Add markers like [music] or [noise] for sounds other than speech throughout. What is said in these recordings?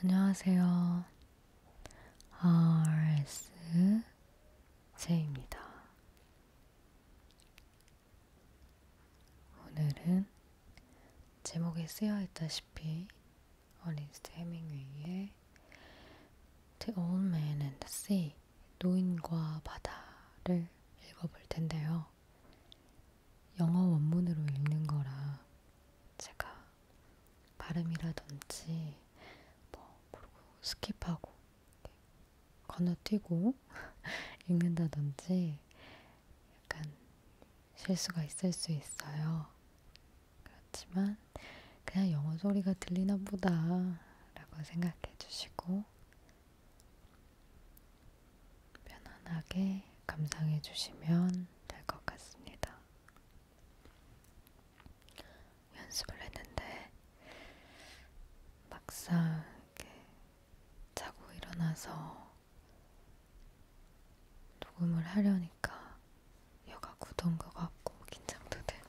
안녕하세요. RSJ입니다. 오늘은 제목에 쓰여 있다시피 어린스트 해밍웨이의 The Old Man and the Sea 노인과 바다를 읽어볼 텐데요. 영어 원문으로 읽는 거라 제가 발음이라든지 뭐 모르고 스킵하고 건너뛰고 [laughs] 읽는다든지 약간 실수가 있을 수 있어요. 그렇지만 그냥 영어 소리가 들리나 보다라고 생각해 주시고 편안하게 감상해 주시면 될 것 같습니다. 연습을 했는데 막상 이렇게 자고 일어나서 녹음을 하려니까 여가 굳은 것 같고 긴장도 되고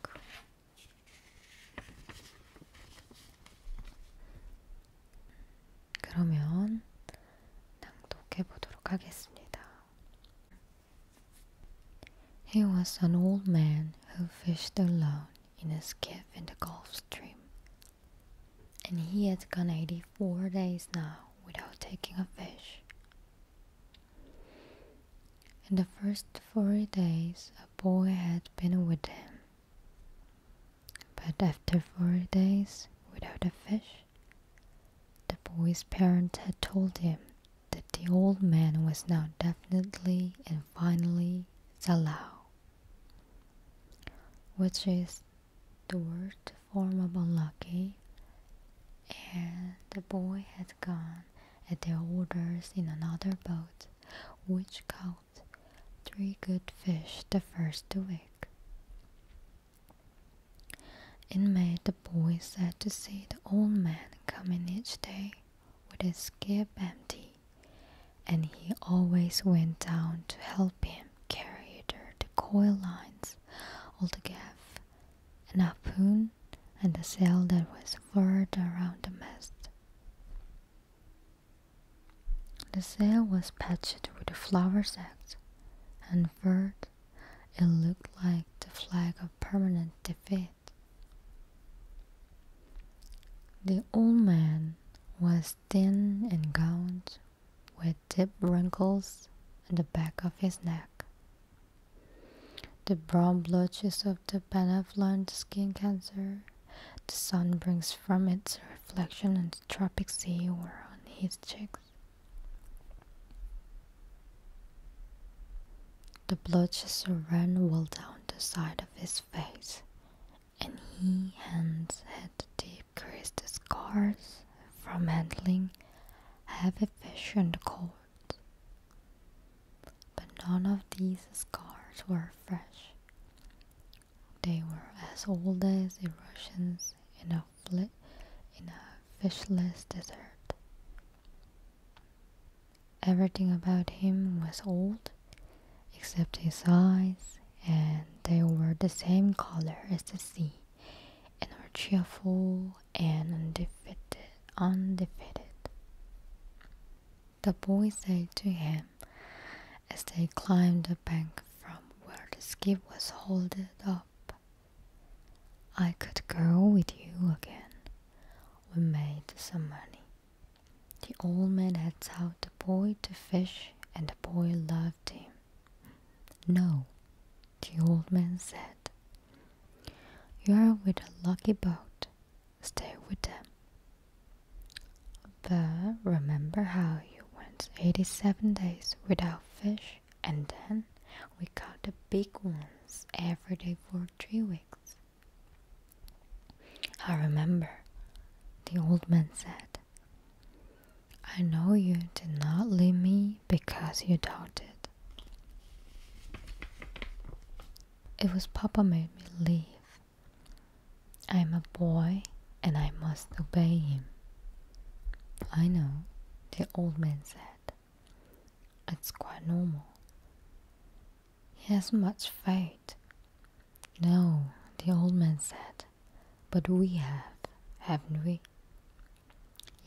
He was an old man who fished alone in a skiff in the Gulf Stream, and he had gone 84 days now without taking a fish. In the first forty days, a boy had been with him. But after four days without a fish, the boy's parents had told him that the old man was now definitely and finally Salao, which is the worst form of unlucky, and the boy had gone at their orders in another boat, which caught three good fish the first week. It made the boy sad to see the old man coming each day with his skip empty, and he always went down to help him carry either the coil lines all the gaff, an harpoon, and the sail that was furled around the mast. The sail was patched with flower sacks, and furred, it looked like the flag of permanent defeat. The old man was thin and gaunt, with deep wrinkles at the back of his neck. The brown blotches of the benevolent skin cancer the sun brings from its reflection in the tropic sea world his cheeks. The blood just ran well down the side of his face, and he hands had creased scars from handling heavy fish and cold. But none of these scars were fresh. They were as old as the Russians in a, fli in a fishless desert. Everything about him was old, except his eyes, and they were the same color as the sea, and were cheerful and undefeated. undefeated. The boy said to him as they climbed the bank from where the skiff was holded up. I could go with you again. We made some money. The old man had taught the boy to fish, and the boy loved him. No, the old man said. You are with a lucky boat. Stay with them. But remember how you went 87 days without fish and then we caught the big ones every day for three weeks. I remember, the old man said. I know you did not leave me because you doubted. It was Papa made me leave. I'm a boy and I must obey him. I know, the old man said. It's quite normal. He has much faith. No, the old man said. But we have, haven't we?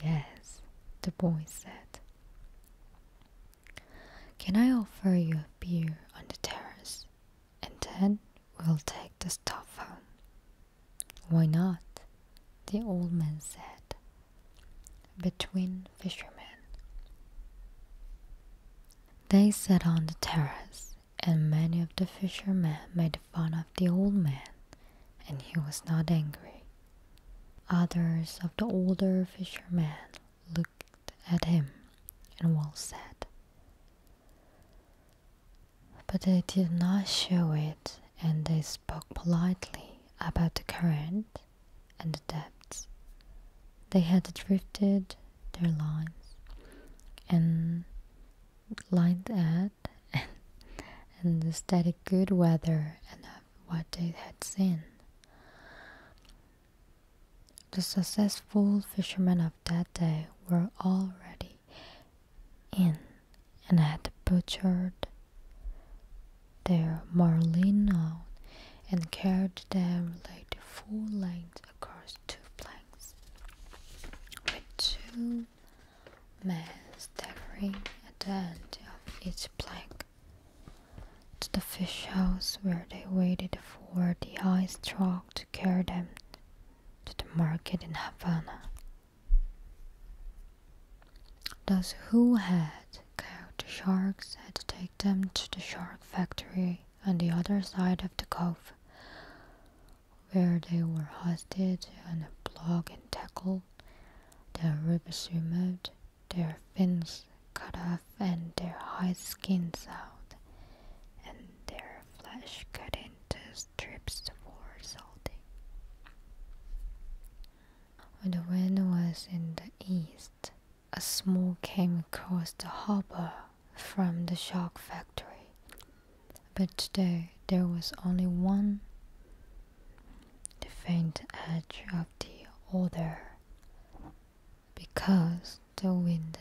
Yes, the boy said. Can I offer you a beer on the terrace? and then we'll take the stuff home. Why not? the old man said, between fishermen. They sat on the terrace, and many of the fishermen made fun of the old man, and he was not angry. Others of the older fishermen looked at him, and one said, but they did not show it, and they spoke politely about the current and the depths. They had drifted their lines and like that [laughs] and the steady good weather and what they had seen. The successful fishermen of that day were already in and had butchered their marlin out and carried them like full length across two planks, with two men staggering at the end of each plank, to the fish house where they waited for the ice truck to carry them to the market in Havana. Those who had caught the sharks had to take them to the shark factory on the other side of the cove, where they were hoisted on a block and tackled, their ribs removed, their fins cut off, and their hide skins out, and their flesh cut into strips for salting. When the wind was in the east, a smoke came across the harbor from the shark factory. But today there was only one. The faint edge of the odor, because the wind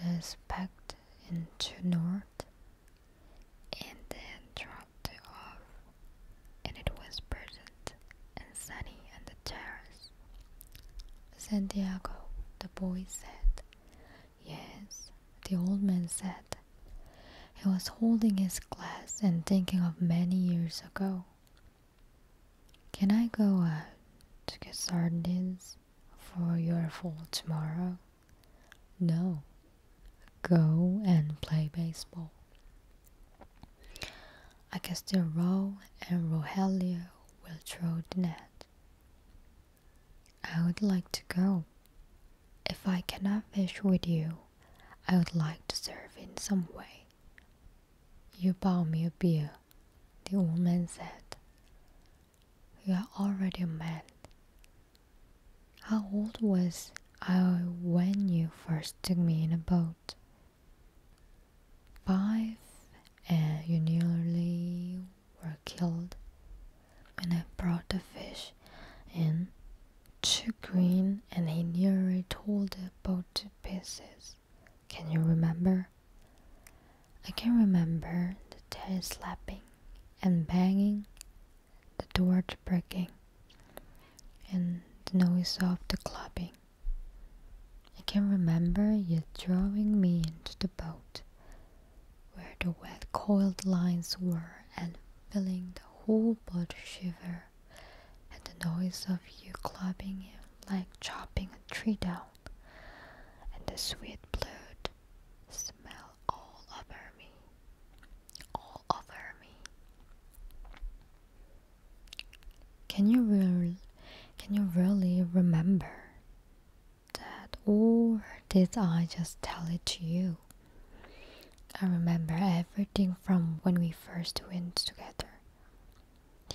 backed into north and then dropped off, and it was pleasant and sunny on the terrace. Santiago, the boy said. Yes, the old man said. He was holding his glass and thinking of many years ago. Can I go out to get sardines? for your fall tomorrow? No. Go and play baseball. I guess the Row and Rogelio will throw the net. I would like to go. If I cannot fish with you, I would like to serve in some way. You bow me a beer, the old man said. You are already a man. How old was I when you first took me in a boat? Five, and you nearly were killed. When I brought the fish in too green, and he nearly tore the boat to pieces. Can you remember? I can remember the tail slapping and banging, the door breaking, and the noise of the clubbing. I can remember you drawing me into the boat, where the wet coiled lines were, and feeling the whole body shiver at the noise of you clubbing it like chopping a tree down and the sweet blood smell all over me, all over me. Can you really, can you really remember that, or did I just tell it to you? I remember everything from when we first went together.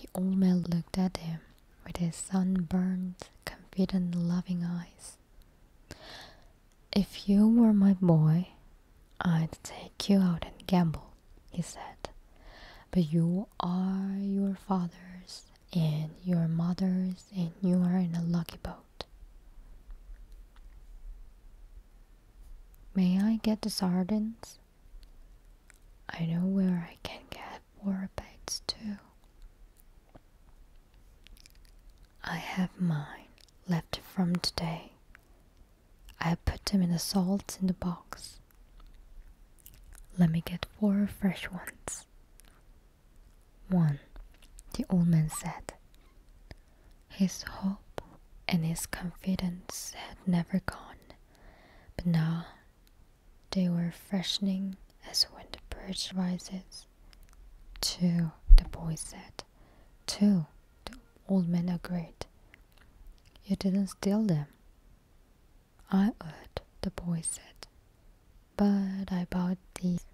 The old man looked at him with his sunburned, confident, loving eyes. If you were my boy, I'd take you out and gamble, he said. But you are your father's and your mother's, and you are in a lucky boat. May I get the sardines? I know where I can get warbats too. I have mine left from today. I put them in the salt in the box. Let me get four fresh ones. One, the old man said. His hope and his confidence had never gone, but now they were freshening as when the bird rises. Two, the boy said. Two, the old man agreed. You didn't steal them. I would, the boy said. But I bought these.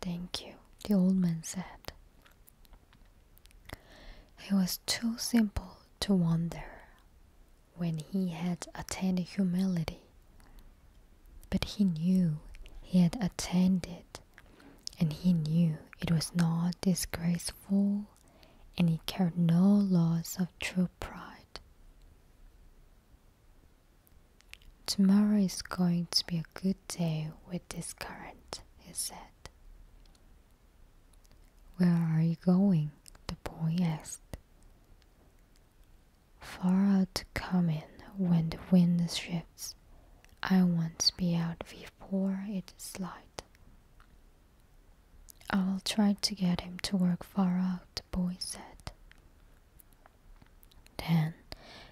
Thank you, the old man said. He was too simple to wonder when he had attained humility. But he knew he had attained it, and he knew it was not disgraceful, and he cared no loss of true pride. Tomorrow is going to be a good day with this current, he said. Where are you going? the boy asked. Far out to come in when the wind shifts. I want to be out before it slides. I will try to get him to work far out, the boy said. Then,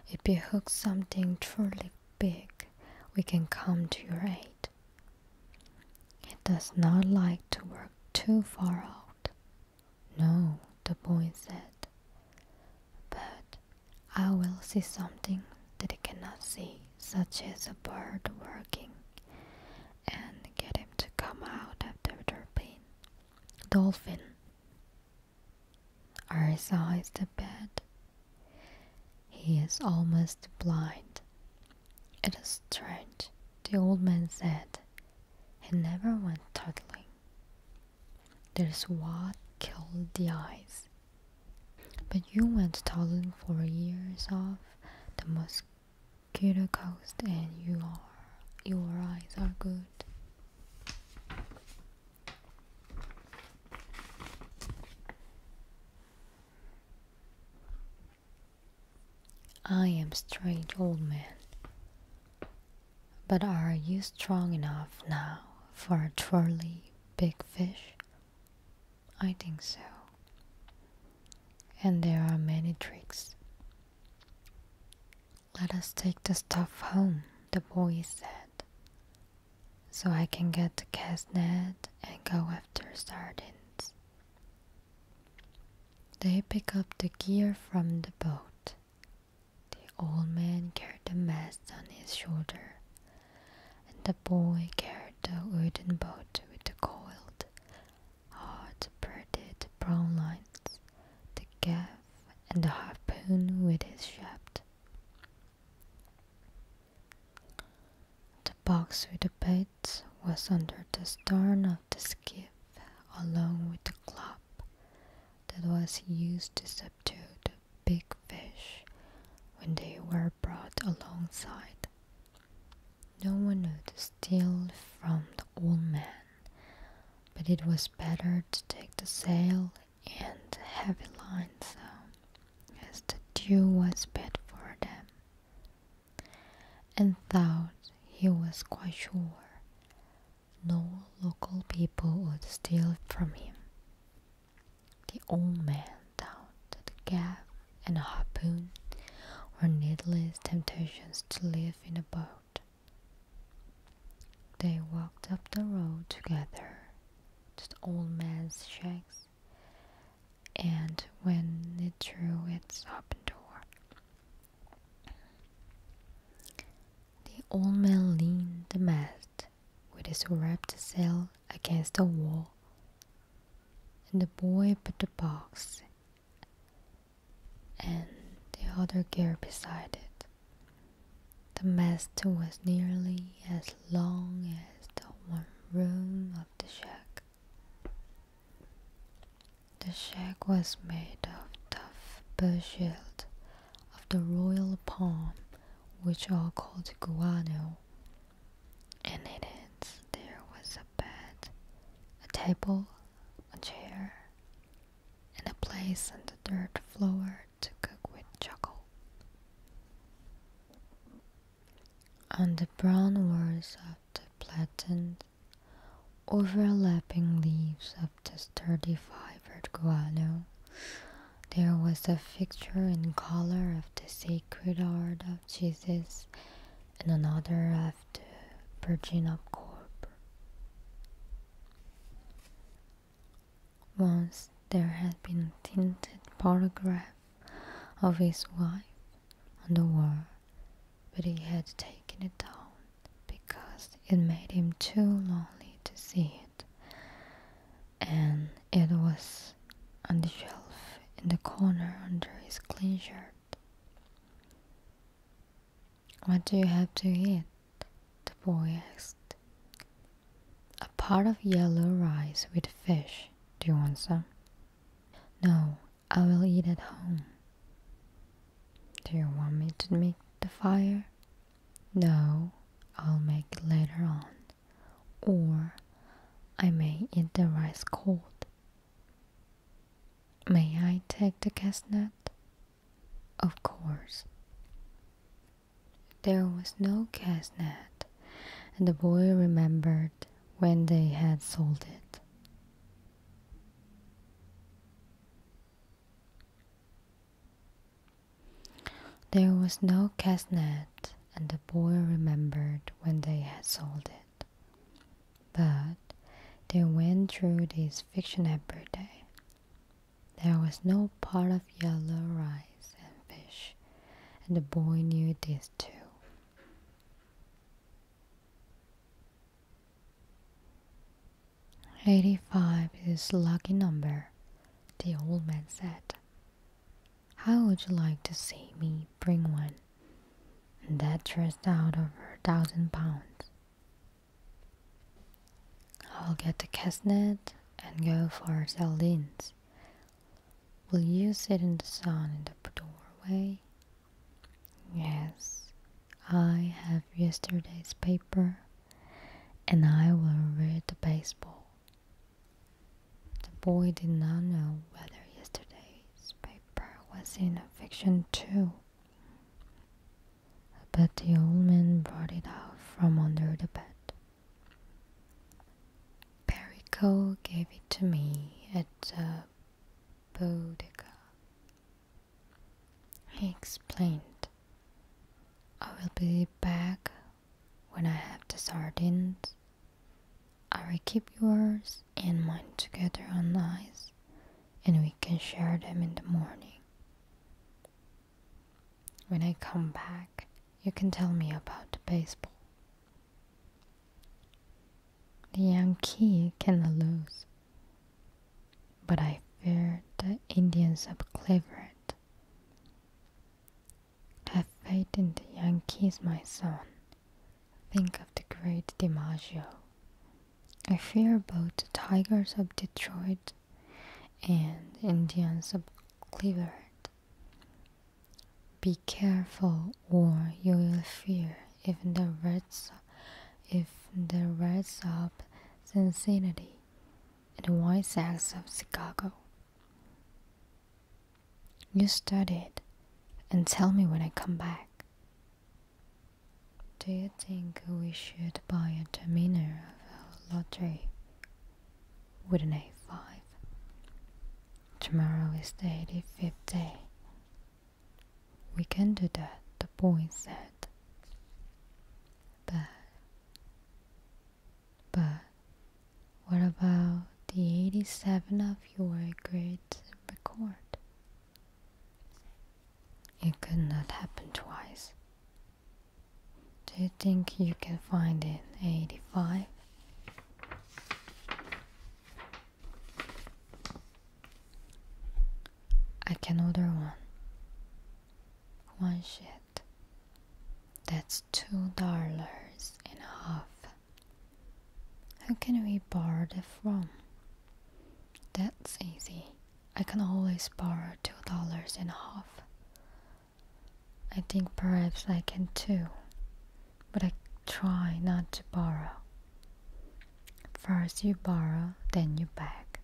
if you hook something truly big, we can come to your aid it. does not like to work too far out. No, the boy said. But I will see something that he cannot see, such as a bird working, and get him to come out after the pain. Dolphin. Arisa is the bed. He is almost blind. It is strange, the old man said. He never went toddling. There's what killed the eyes. But you went toddling for years off the mosquito coast and you are, your eyes are good. I am strange old man. But are you strong enough now for a truly big fish? I think so. And there are many tricks. Let us take the stuff home, the boy said. So I can get the cast net and go after sardines. They pick up the gear from the boat. The old man carried the mast on his shoulder, and the boy carried the wooden boat with the coiled, hard braided brown lines, the gaff, and the harpoon with its shaft. The box with the bait was under the stern of the skiff, along with the club that was used to subdue the big fish when they were brought alongside. No one knew the steal from the old man, but it was better to take the sail and heavy lines as the dew was bad for them and thought he was quite sure no local people would steal from him. The old man thought that the gaff and a harpoon were needless temptations to live in a boat. They walked up the road together to the old man's shacks and when it drew its open door. The old man leaned the mast with his wrapped sail against the wall, and the boy put the box and the other gear beside it. The mast was nearly as long as the one room of the shack. The shack was made of tough birch of the royal palm, which are called guano, and in it there was a bed, a table, a chair, and a place on the dirt floor to cook with charcoal on the brown walls of the platen, overlapping leaves of the sturdy fibered guano, there was a fixture in color of the sacred heart of Jesus and another of the Virgin of Corp. Once there had been tinted photographs of his wife on the wall, but he had taken it down because it made him too lonely to see it, and it was on the shelf in the corner under his clean shirt. What do you have to eat? the boy asked. A pot of yellow rice with fish, do you want some? No, I will eat at home. Do you want me to make the fire? No, I'll make it later on. Or I may eat the rice cold. May I take the chestnut? Of course. There was no chestnut and the boy remembered when they had sold it. There was no casnet, and the boy remembered when they had sold it. But they went through this fiction every day. There was no pot of yellow rice and fish, and the boy knew this is 2. Eighty-five is lucky number, the old man said. How would you like to see me bring one? And that dressed out over a thousand pounds. I'll get the casnet and go for sardines Will you sit in the sun in the doorway? Yes, I have yesterday's paper and I will read the baseball. The boy did not know whether yesterday's paper was in a fiction too. But the old man brought it out from under the bed. Perico gave it to me at the uh, bodega. He explained, I will be back when I have the sardines. I will keep yours and mine together on ice, and we can share them in the morning. When I come back, you can tell me about the baseball. The Yankees cannot lose, but I fear the Indians of Cleveland. Have faith in the Yankees, my son. Think of the great DiMaggio. I fear both the Tigers of Detroit and Indians of Cleveland. Be careful or you will fear if the rats if the rats the Cincinnati and White Sox of Chicago. You study it and tell me when I come back. Do you think we should buy a terminal of a lottery with an A5. Tomorrow is the 85th day. We can do that, the boy said. But, but, what about the 87 of your great record? It could not happen twice. Do you think you can find it 85? I can order one. One shit. That's two dollars and a half. Who can we borrow that from? That's easy. I can always borrow two dollars and a half. I think perhaps I can too, but I try not to borrow. First you borrow, then you beg.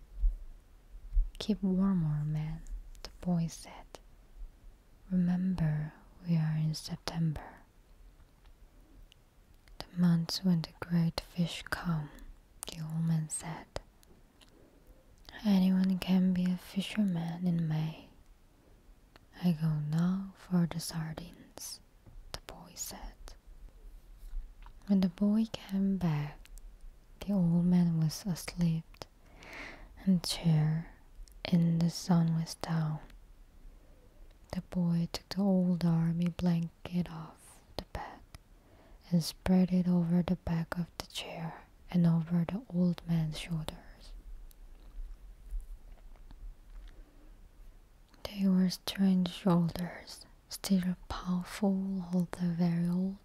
Keep warmer, man, the boy said. Remember, we are in September. The months when the great fish come, the old man said. Anyone can be a fisherman in May. I go now for the sardines, the boy said. When the boy came back, the old man was asleep, and the chair and the sun was down. The boy took the old army blanket off the bed and spread it over the back of the chair and over the old man's shoulders. They were strange shoulders, still powerful, although very old.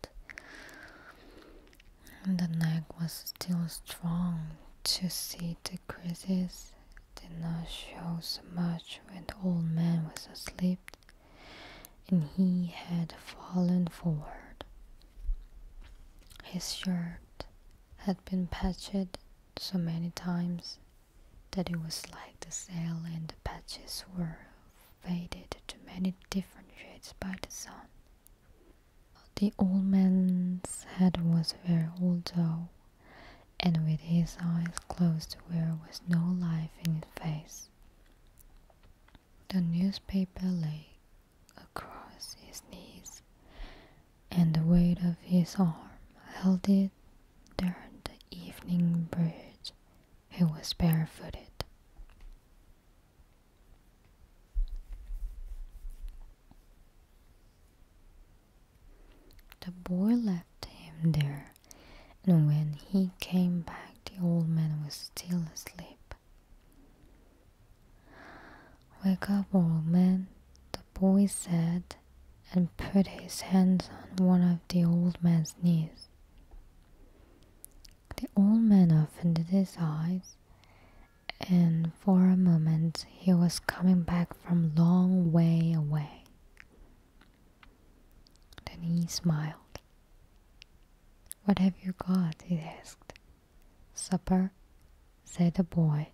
the neck was still strong to see the creases did not show so much when the old man was asleep and he had fallen forward his shirt had been patched so many times that it was like the sail and the patches were faded to many different shades by the sun. The old man's head was very old though, and with his eyes closed there was no life in his face. The newspaper lay across his knees, and the weight of his arm held it during the evening bridge. He was barefooted. The boy left him there, and when he came back, the old man was still asleep. Wake up, old man, the boy said, and put his hands on one of the old man's knees. The old man opened his eyes, and for a moment he was coming back from long way away. Then he smiled. What have you got? he asked. Supper, said the boy.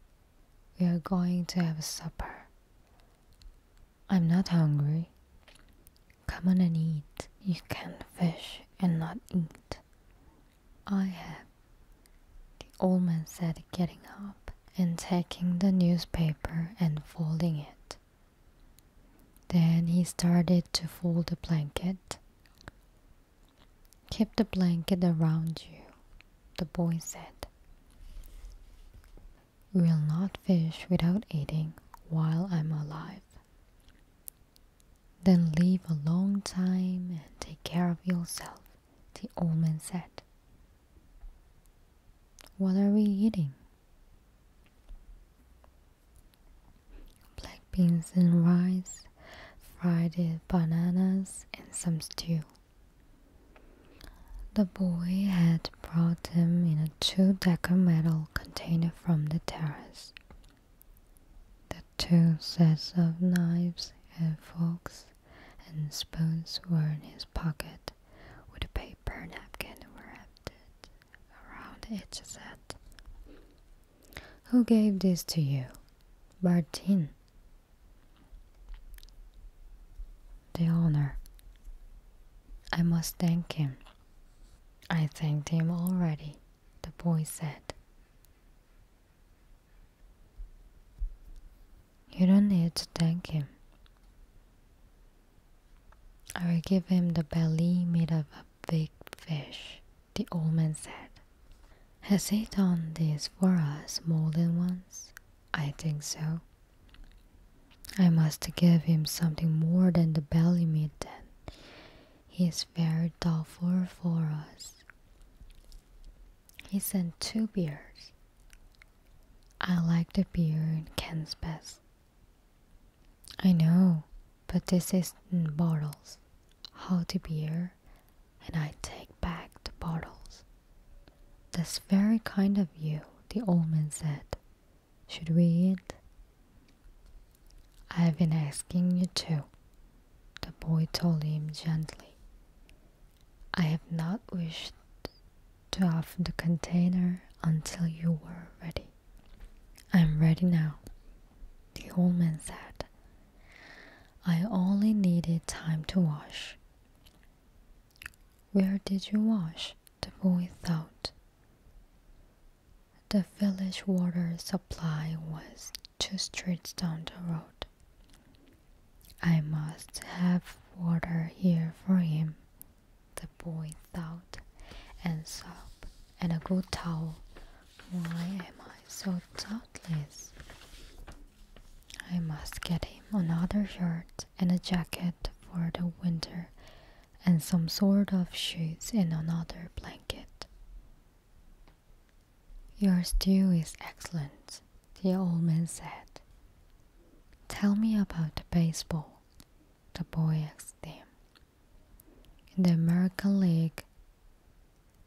We are going to have supper. I'm not hungry. Come on and eat. You can not fish and not eat. I have, the old man said, getting up and taking the newspaper and folding it. Then he started to fold the blanket. Keep the blanket around you, the boy said. We'll not fish without eating while I'm alive. Then live a long time and take care of yourself, the old man said. What are we eating? black beans and rice, fried bananas, and some stew. The boy had brought them in a two decker metal container from the terrace. The two sets of knives and forks and spoons were in his pocket, with a paper napkin wrapped it around each set. Who gave this to you? Martin. The owner. I must thank him. I thanked him already, the boy said. You don't need to thank him. I will give him the belly made of a big fish, the old man said. Has he done this for us more than once? I think so. I must give him something more than the belly meat then. He is very thoughtful for us. He sent two beers. I like the beer in cans best. I know, but this isn't bottles. How to beer, and I take back the bottles. That's very kind of you, the old man said. Should we eat? I've been asking you to, the boy told him gently. I have not wished to open the container until you were ready. I'm ready now, the old man said. I only needed time to wash. Where did you wash? the boy thought. The village water supply was two streets down the road. I must have water here for him, the boy thought, and sobbed, and a good towel. Why am I so thoughtless? I must get him another shirt and a jacket for the winter, and some sort of shoes and another blanket. Your stew is excellent, the old man said. Tell me about the baseball, the boy asked him in the American League,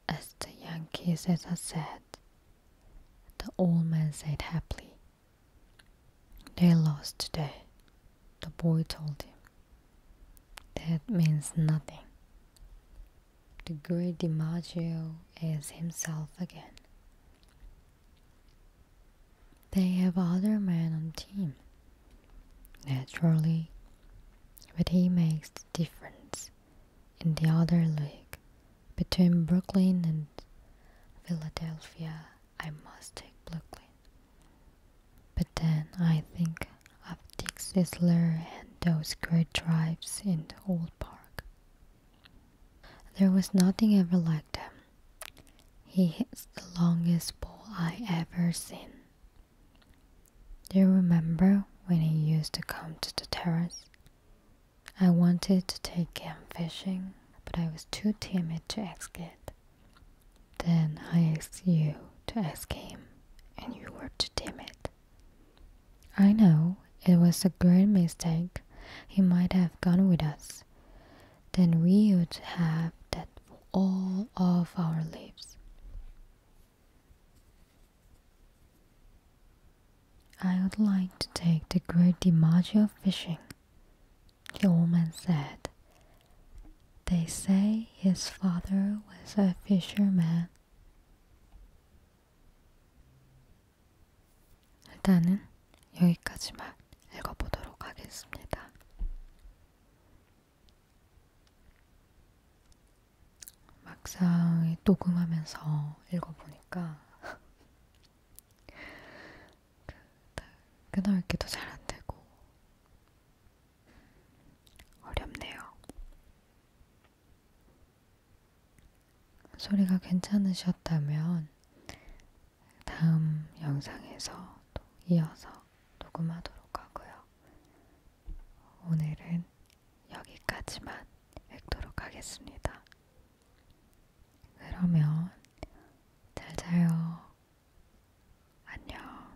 as the Yankees, as I said, the old man said happily. They lost today, the boy told him. That means nothing. The great DiMaggio is himself again. They have other men on team. Naturally, but he makes the difference in the other league between Brooklyn and Philadelphia. I must take Brooklyn. But then I think of Dick Sisler and those great drives in the old park. There was nothing ever like them. He hits the longest ball I ever seen. Do you remember when he used to come to the terrace? I wanted to take him fishing, but I was too timid to ask it. Then I asked you to ask him, and you were too timid. I know it was a great mistake. He might have gone with us. Then we would have that all of our lives. I would like to take the great DiMaggio fishing, the old man said. They say his father was a fisherman. 일단은 여기까지만 읽어보도록 하겠습니다. 막상 녹음하면서 읽어보니까 그, 끊어읽기도 잘 안되고 어렵네요. 소리가 괜찮으셨다면 다음 영상에서 또 이어서 녹음하도록 하고요. 오늘은 여기까지만 읽도록 하겠습니다. 그러면 잘 자요. 안녕.